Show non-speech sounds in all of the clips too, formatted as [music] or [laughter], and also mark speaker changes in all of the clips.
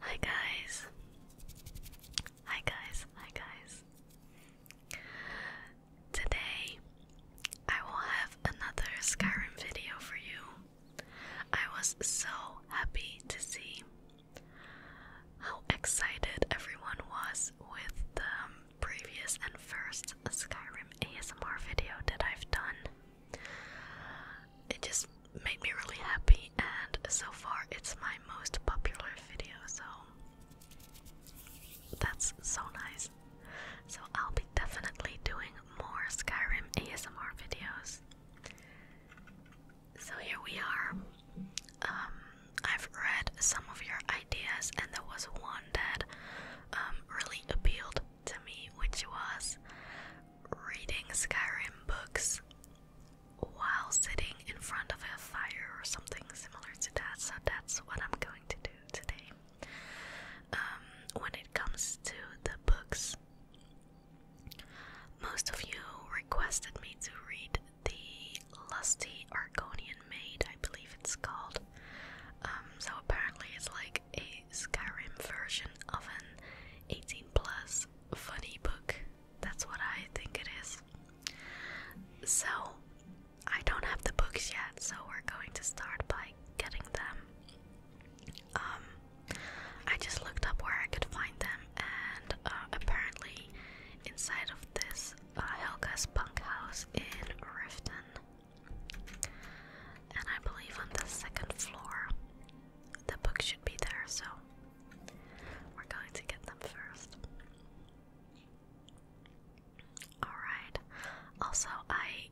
Speaker 1: Hi guys. Hi guys. Hi guys. Today I will have another Skyrim video for you. I was so happy to see how excited everyone was with the previous and first Skyrim ASMR video that I've done. It just made me really happy, and so far it's my most popular video, so that's so nice. So I'll be definitely doing more Skyrim ASMR videos. So here we are. Um, I've read some of your ideas, and there was one that um, really appealed to me, which was reading Skyrim books while sitting in front of a fire or something similar to that. So that's what I'm going to do today. Um, when it comes to the books, most of you requested me to read The Lusty Argonian Maid, I believe it's called, um, so apparently it's like a Skyrim version of an 18 plus funny book. That's what I think it is. So I don't have the books yet, so we're going to start by getting them. Um, I just looked up where I could find them, and uh, apparently inside of this uh, Helga's punk house in Riften. And I believe on the second floor the book should be there, so we're going to get them first. Alright, also, I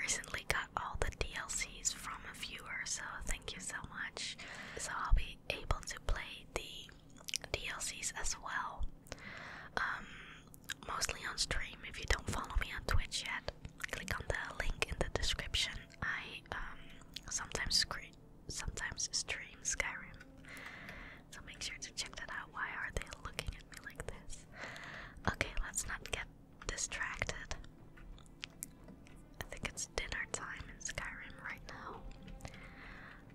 Speaker 1: recently got all the DLCs from a viewer, so thank you so much. So I'll be able to play the DLCs as well. Um, mostly on stream. If you don't follow me on Twitch yet, click on the link in the description. I um, sometimes sometimes stream Skyrim, so make sure to check that out. Why are they looking at me like this? Okay, let's not get distracted. I think it's dinner time in Skyrim right now.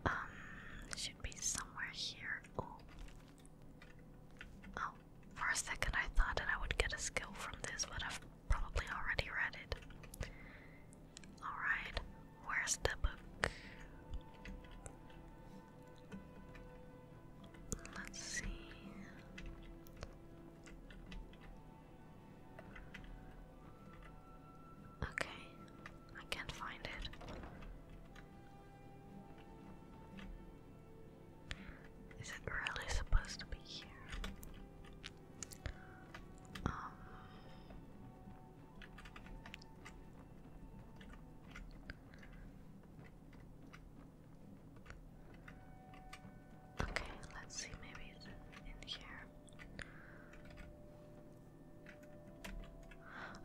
Speaker 1: Um, should be somewhere here. Oh, Oh, for a second I thought that I would get a skill from this, but I've probably already read it. Alright, where's the book? Let's see. Okay, I can't find it. Is it really supposed to be here? Um, okay, let's see, maybe it's in here.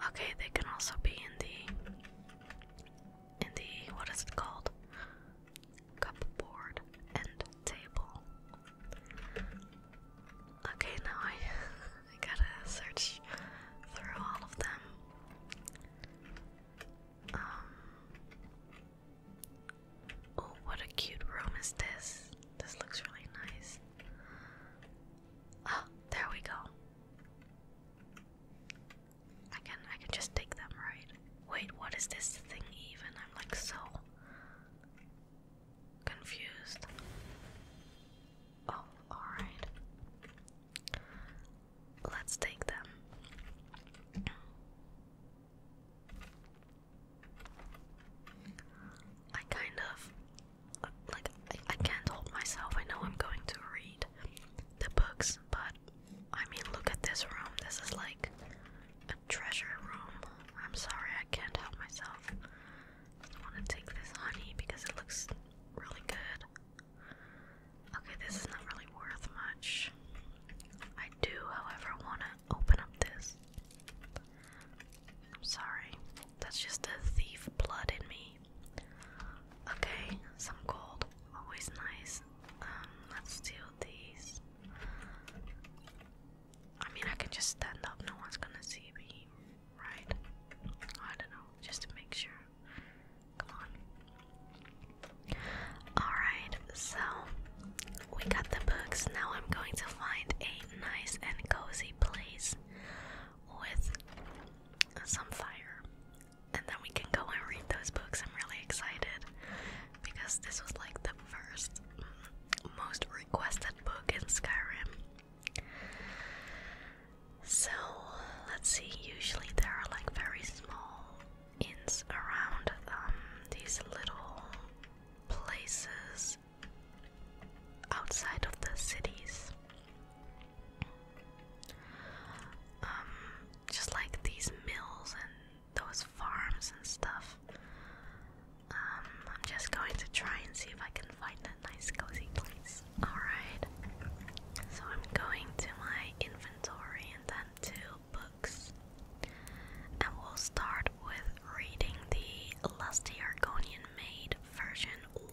Speaker 1: Okay, they can also be in the in the what is it called? Cupboard and table. Okay, now I [laughs] I gotta search through all of them. Um, oh, what a cute room is this! This looks really nice. Ah, there we go. I can I can just take them, right? Wait, what is this thing even? I'm like so confused. Oh, alright. Let's take them. I kind of like I, can't hold myself. I know I'm going to read the books, but I mean, look at this room. This is like a treasure room. I'm sorry, I can't help myself. I want to take this honey because it looks really good. Okay, this is not really worth much. I do, however, want to open up this. I'm sorry. That's just the thief blood in me. Okay, some gold, always nice. Um, let's steal these. I mean, I can just stand up, no one's gonna see me, right? I don't know, just to make sure. Come on. Alright, so we got the books. Now I'm going to find a nice and cozy place with some fire and then we can go and read those books. I'm really excited because this was like the first mm, most requested book in Skyrim. So let's see, usually there are like very small inns around um, these little places outside of the cities. Um, just like these mills and those farms and stuff. Um, I'm just going to try and see if I can find a nice cozy place. Alright, so I'm going to my inventory and then to books. And we'll start with reading the Lusty Argonian made version 1.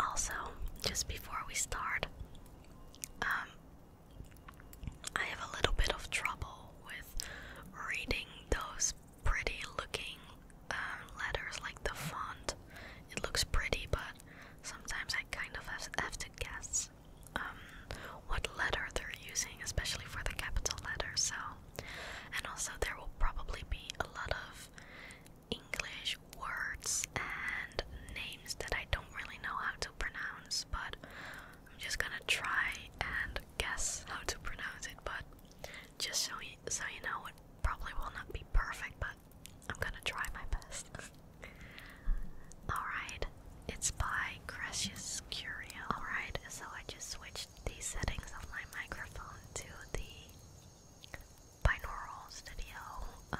Speaker 1: Also, just before we start, um, I have a little bit of trouble with reading those pretty looking um, letters like the font. It looks pretty, but sometimes I kind of have, to guess um, what letter they're using, especially for the capital letters. So and also, there will probably be a lot of English words and names that I don't really know how to pronounce, but I'm just gonna try and guess how to pronounce it. But just so you, so you know, it probably will not be perfect, but I'm gonna try my best. [laughs] Alright, it's by Gracious Curio. Alright, so I just switched the settings of my microphone to the binaural studio um,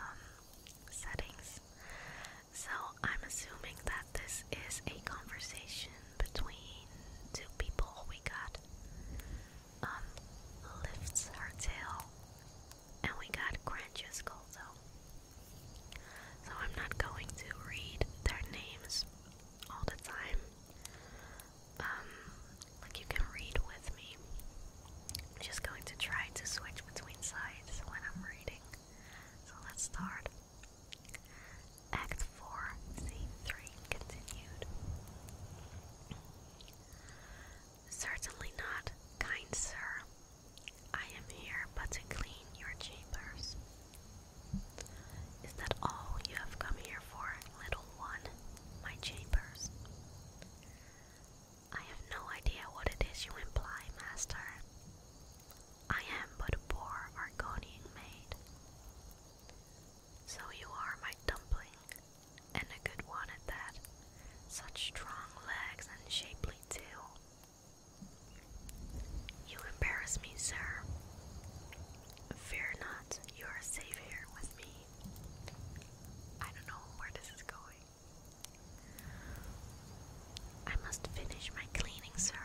Speaker 1: settings. So I'm assuming that this is a conversation between two people. We got um, lifts her tail, and we got Grantius So I'm not going to read their names all the time um, like you can read with me. I'm just going to try to switch between sides when I'm reading. So let's start. Act 4, Scene 3 continued. Certainly not, kind sir. I am here but to clean your chambers. Is that all you have come here for, little one? My chambers. I have no idea what it is you imply, master. I am but a poor Argonian maid. So you are my dumpling, and a good one at that. Such strong legs and shapely too. You embarrass me, sir. Fear not, you are safe here with me. I don't know where this is going. I must finish my cleaning, sir.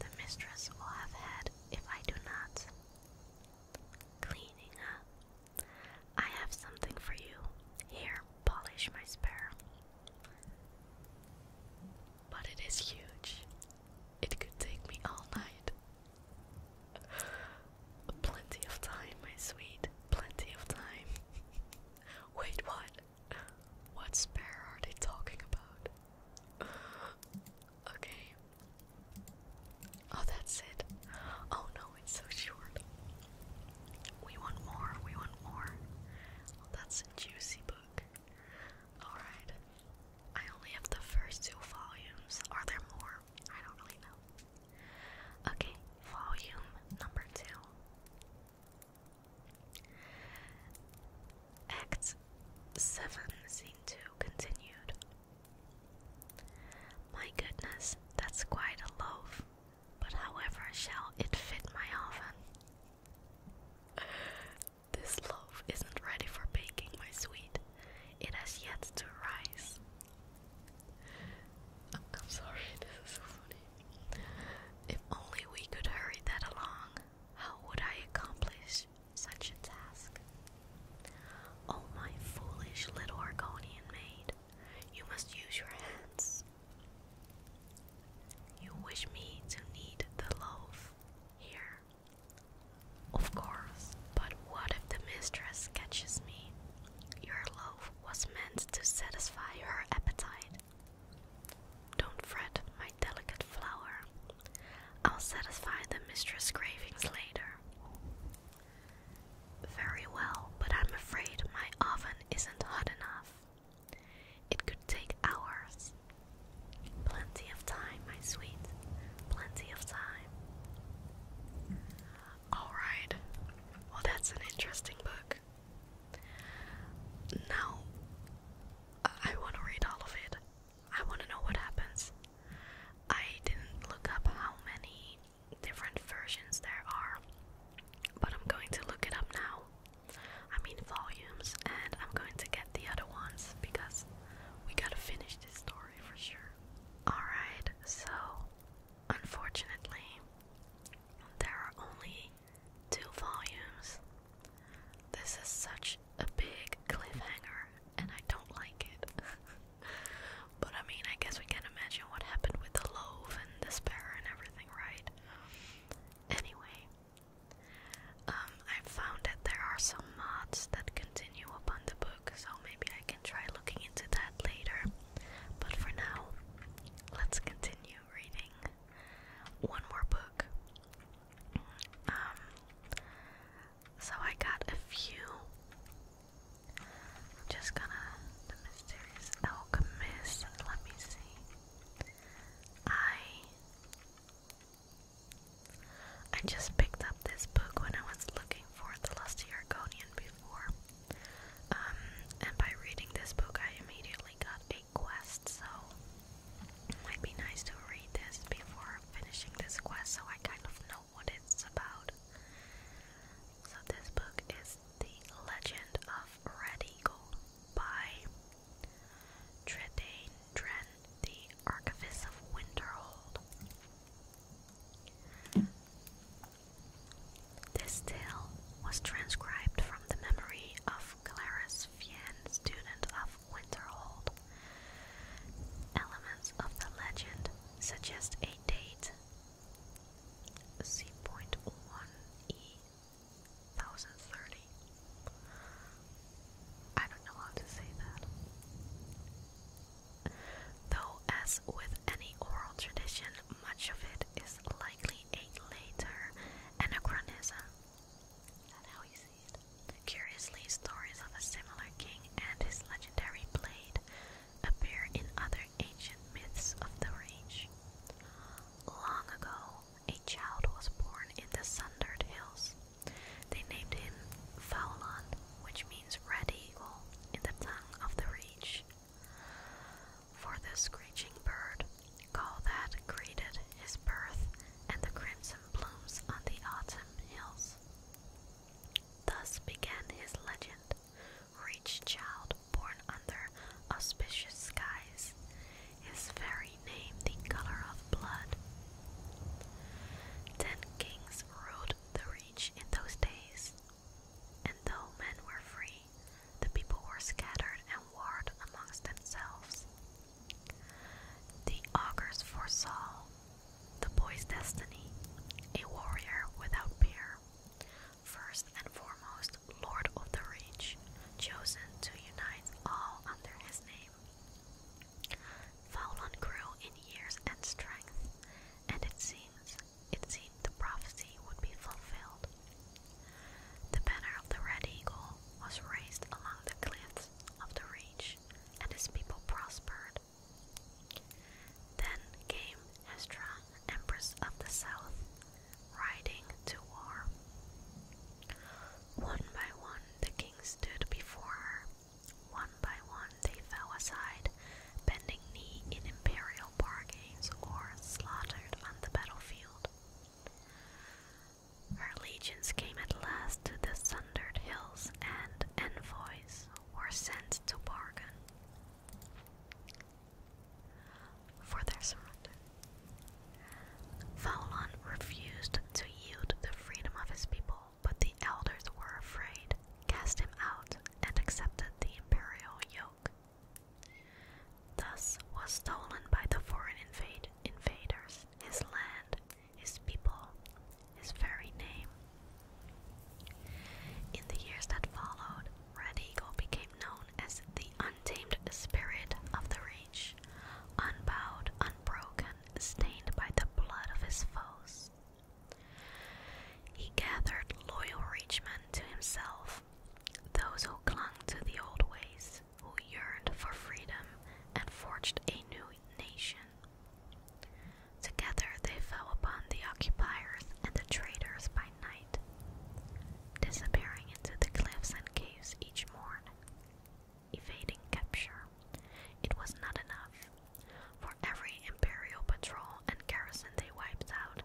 Speaker 1: The mistress will have had if I do not. Cleaning, huh? I have something for you. Here, polish my sparrow. But it is huge. It could take me all night. Plenty of time, my sweet. Plenty of time. [laughs] Wait, what? What spare are they talking about? [gasps] okay. Oh, that's it. Oh no, it's so short. We want more, we want more. Oh, that's a juicy book. Alright. I only have the first two volumes. Are there more? I don't really know. Okay, volume number two. Act 7, Scene 2 continued. My goodness, that's quite a loaf, but however shall it fit my oven? This loaf isn't ready for baking, my sweet. It has yet to rise. I'm, sorry, this is so funny. If only we could hurry that along, how would I accomplish such a task? Oh, my foolish little Argonian maid, you must use your hands. You wish me to knead the loaf. Here, of course, but what if the mistress catches me? Your loaf was meant to satisfy her appetite. Don't fret, my delicate flower. I'll satisfy the mistress' cravings later. Very well, but I'm afraid my oven isn't hot enough. It could take hours. Plenty of time, my sweet. Plenty of time. Alright. Well, that's an interesting book. Now, I want to read all of it. I want to know what happens. I didn't look up how many different versions there are, but I'm going to look it up now. I mean volumes, and I'm going to get the other ones because we gotta finish this story for sure. Alright, so unfortunately, there are only two volumes. This is such a big cliffhanger, and I don't like it. [laughs] but I mean, I guess we can imagine what happened with the loaf and the despair and everything, right? Anyway, um, I found that there are some mods that continue upon the book, so maybe I can try looking into that later. But for now, let's continue reading one more book. Um, so I got a few. just gonna the mysterious alchemist. Let me see. I I just picked up this book when I was looking for The Lost Argonian before. Um, and by reading this book, I immediately got a quest, so it might be nice to read this before finishing this quest so I kind of know what it's about. So, this book is The Legend of Red Eagle by Tredane Dren, the Archivist of Winterhold. This tale was transcribed from the memory of Clarice Fien, student of Winterhold. Elements of the legend suggest a date 1030. I don't know how to say that. Though, as with any oral tradition, much of it is likely a later anachronism. That's how you see it. Curiously, stories of a similar king and his legendary blade appear in other ancient myths of the range. Long ago, a child was born in the sundered hills. They named him Faulan, which means red eagle in the tongue of the reach. For the screeching bird, call that greeted his birth and the crimson blooms on the autumn hills. Thus began his legend, Reach Child born under auspicious skies his very name the color of blood. Ten kings ruled the reach in those days, and though men were free, the people were scattered and warred amongst themselves. The augurs foresaw the boy's destiny, a warrior without peer, first and foremost lord of the reach, chosen to unite all under his name. Fowlon grew in years and strength, and it seems it seemed the prophecy would be fulfilled. The banner of the Red Eagle was raised along the cliffs of the Reach, and his people prospered. Then came Hestra, Empress of the South, riding to war. One by one, the king stood before her. One by one, they fell aside, bending knee in imperial bargains or slaughtered on the battlefield. Her legions came at last to the sundered hills, and envoys were sent to bargain for their surrender. Fowlon refused to yield the freedom of his people, but the elders were afraid, cast him out, and accepted the imperial yoke. Thus was stolen by the foreign invade invaders his land, his people, his very name. In the years that followed, Red Eagle became known as the untamed spirit of the rich, unbowed, unbroken, stained by the blood of his foes. He gathered loyal rich men to himself, those who clung to the old ways, who yearned for freedom and forged a new nation. Together they fell upon the occupiers and the traders by night, disappearing into the cliffs and caves each morn evading capture. It was not enough. For every imperial patrol and garrison they wiped out,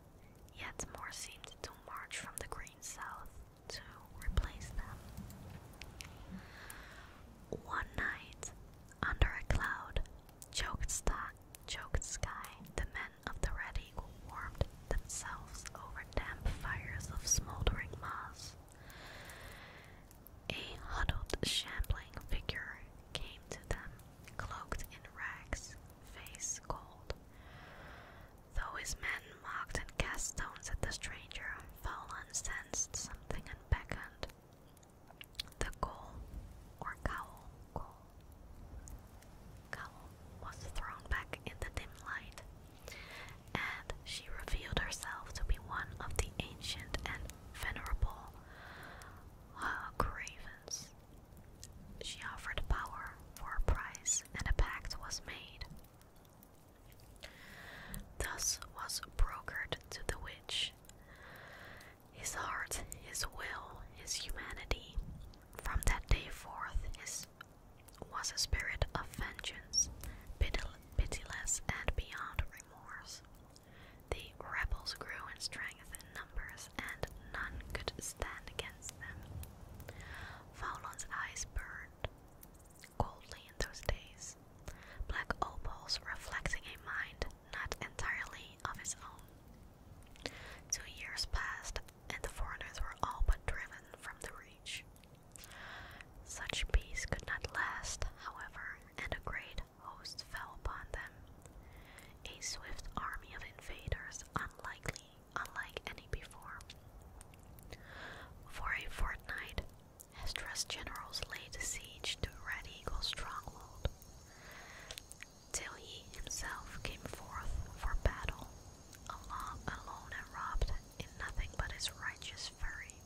Speaker 1: yet more seemed to march from the green south to replace them. One night, under a cloud, choked, st choked sky, the men of the Red setting warmed themselves over damp fires of smoldering moss. A huddled, shambling figure came to them, cloaked in rags, face cold. Though his men mocked and cast stones at the stranger, Fowlan sensed something and beckoned. The goal, or cowl, goal, Cowl was thrown back in the dim light, and she revealed herself to be one of the ancient and venerable Hawgravens. Uh, she offered power for a price, and a pact was made. Thus was brokered to the witch his heart, his will, his humanity. From that day forth, his was a spirit of vengeance, pitiless and beyond remorse. The rebels grew in strength and numbers, and none could stand against them. Faulon's eyes burned coldly in those days, black opals reflecting a mind not entirely of his own. Two years passed and the foreigners were all but driven from the reach. Such peace could not last, however, and a great host fell upon them. A swift army of invaders, unlikely, unlike any before. For a fortnight, Estra's generals laid siege to Red Eagle's stronghold, till he himself came forth for battle alone, and robbed in nothing but his righteous fury.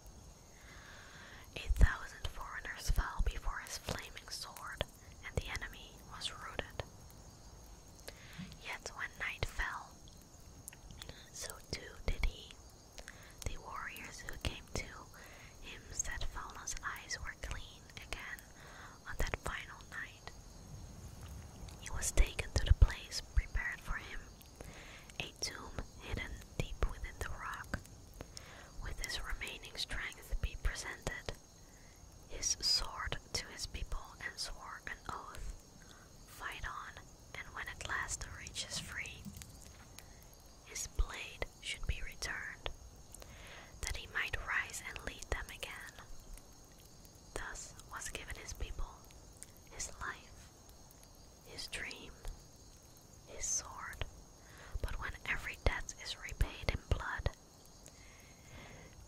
Speaker 1: a thousand foreigners fell before his flaming sword, and the enemy was routed. Yet when night fell, so too did he. The warriors who came to him said Fauna's eyes were clean again, on that final night, he was taken to the place prepared for him, a tomb hidden deep within the rock. With his remaining strength he presented, his sword to his people, and swore an oath. Fight on, and when at last the reach is free, his blade should be returned, that he might rise and lead them again. Thus was given his people, his life, his dream, his sword. But when every debt is repaid in blood,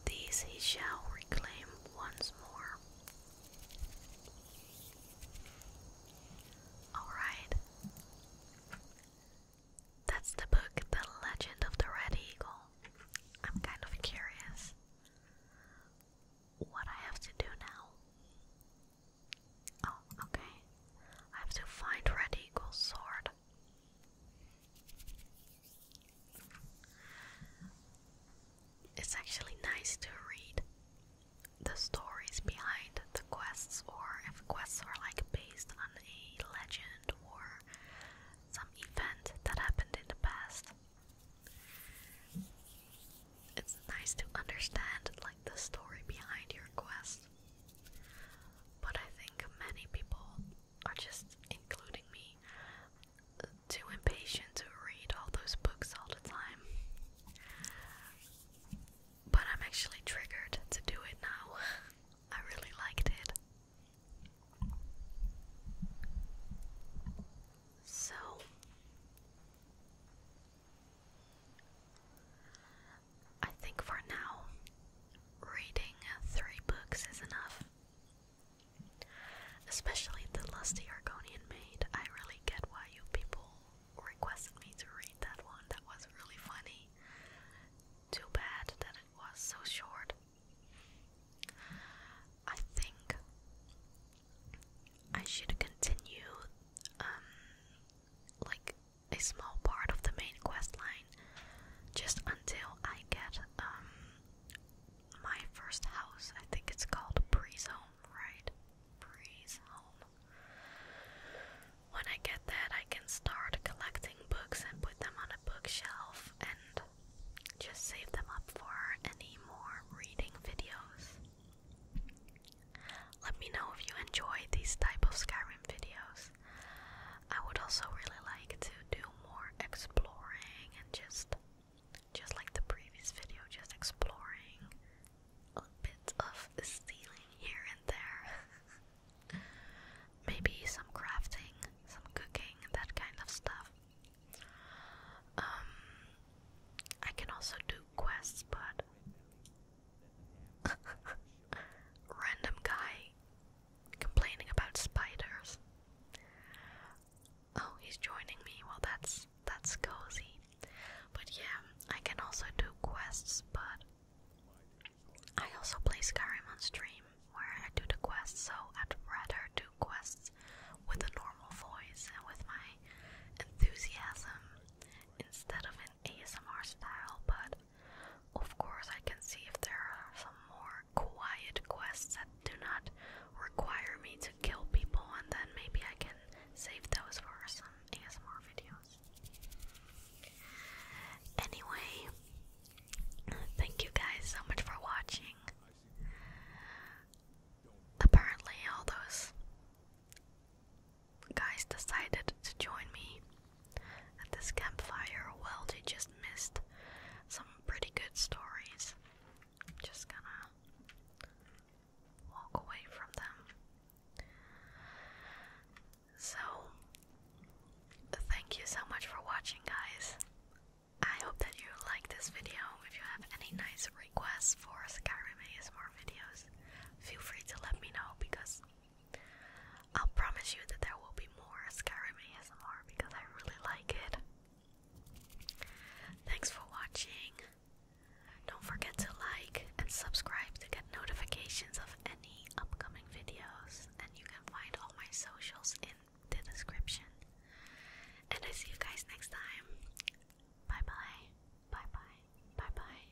Speaker 1: these he shall reclaim once more. Alright. That's the book, The Legend of the Red Eagle. I'm kind of curious what I have to do now? Oh, okay. I have to find Red Eagle's sword. It's actually nice to read the stories behind the quests, or if quests are like based on a legend or some event that happened in the past. It's nice to understand like the story behind your quest. But I think many people are just including me too impatient to read all those books all the time. But I'm actually triggered to do it now. [laughs] I really liked it. So I think for now, reading three books is enough. Especially The Lusty Argonian Maid. I really get why you people requested me to read that one. That was really funny. Too bad that it was so short. I think I should continue um, like a small part of the main quest line just until I get um, my first house. I think it's called Breeze Home, right? Breeze Home. When I get that, I can start collecting books and put them on a bookshelf and just save them up for any more reading videos. Let me know if you enjoy these type of Skyrim videos. I would also really like to do more exploring and just just like the previous video, just exploring a bit of stealing here and there. [laughs] maybe some crafting, some cooking, that kind of stuff. Um, I can also do quests, but [laughs] random guy complaining about spiders. Oh, he's joining me. Well, that's that's cozy. But yeah, I can also do quests, but I also play Skyrim on stream where I do the quests, so I'd rather do quests with a normal voice and with my enthusiasm instead of an ASMR style, but of course I can see if there are some more quiet quests that do not require me to kill people and then maybe I can save those for some ASMR videos. Anyway, Thank you guys so much for watching. Apparently, all those guys decided to join me at this campfire. Well, they just missed some pretty good stories. I'm just gonna walk away from them. So, Thank you so much for watching, guys. I hope that you like this video. If you have any nice requests for Skyrim ASMR videos, feel free to let me know because I'll promise you that there will be more Skyrim ASMR because I really like it. Thanks for watching. Don't forget to like and subscribe to get notifications of any upcoming videos, and you can find all my socials in the description. And I see you guys next time. Bye bye. Bye bye. Bye bye.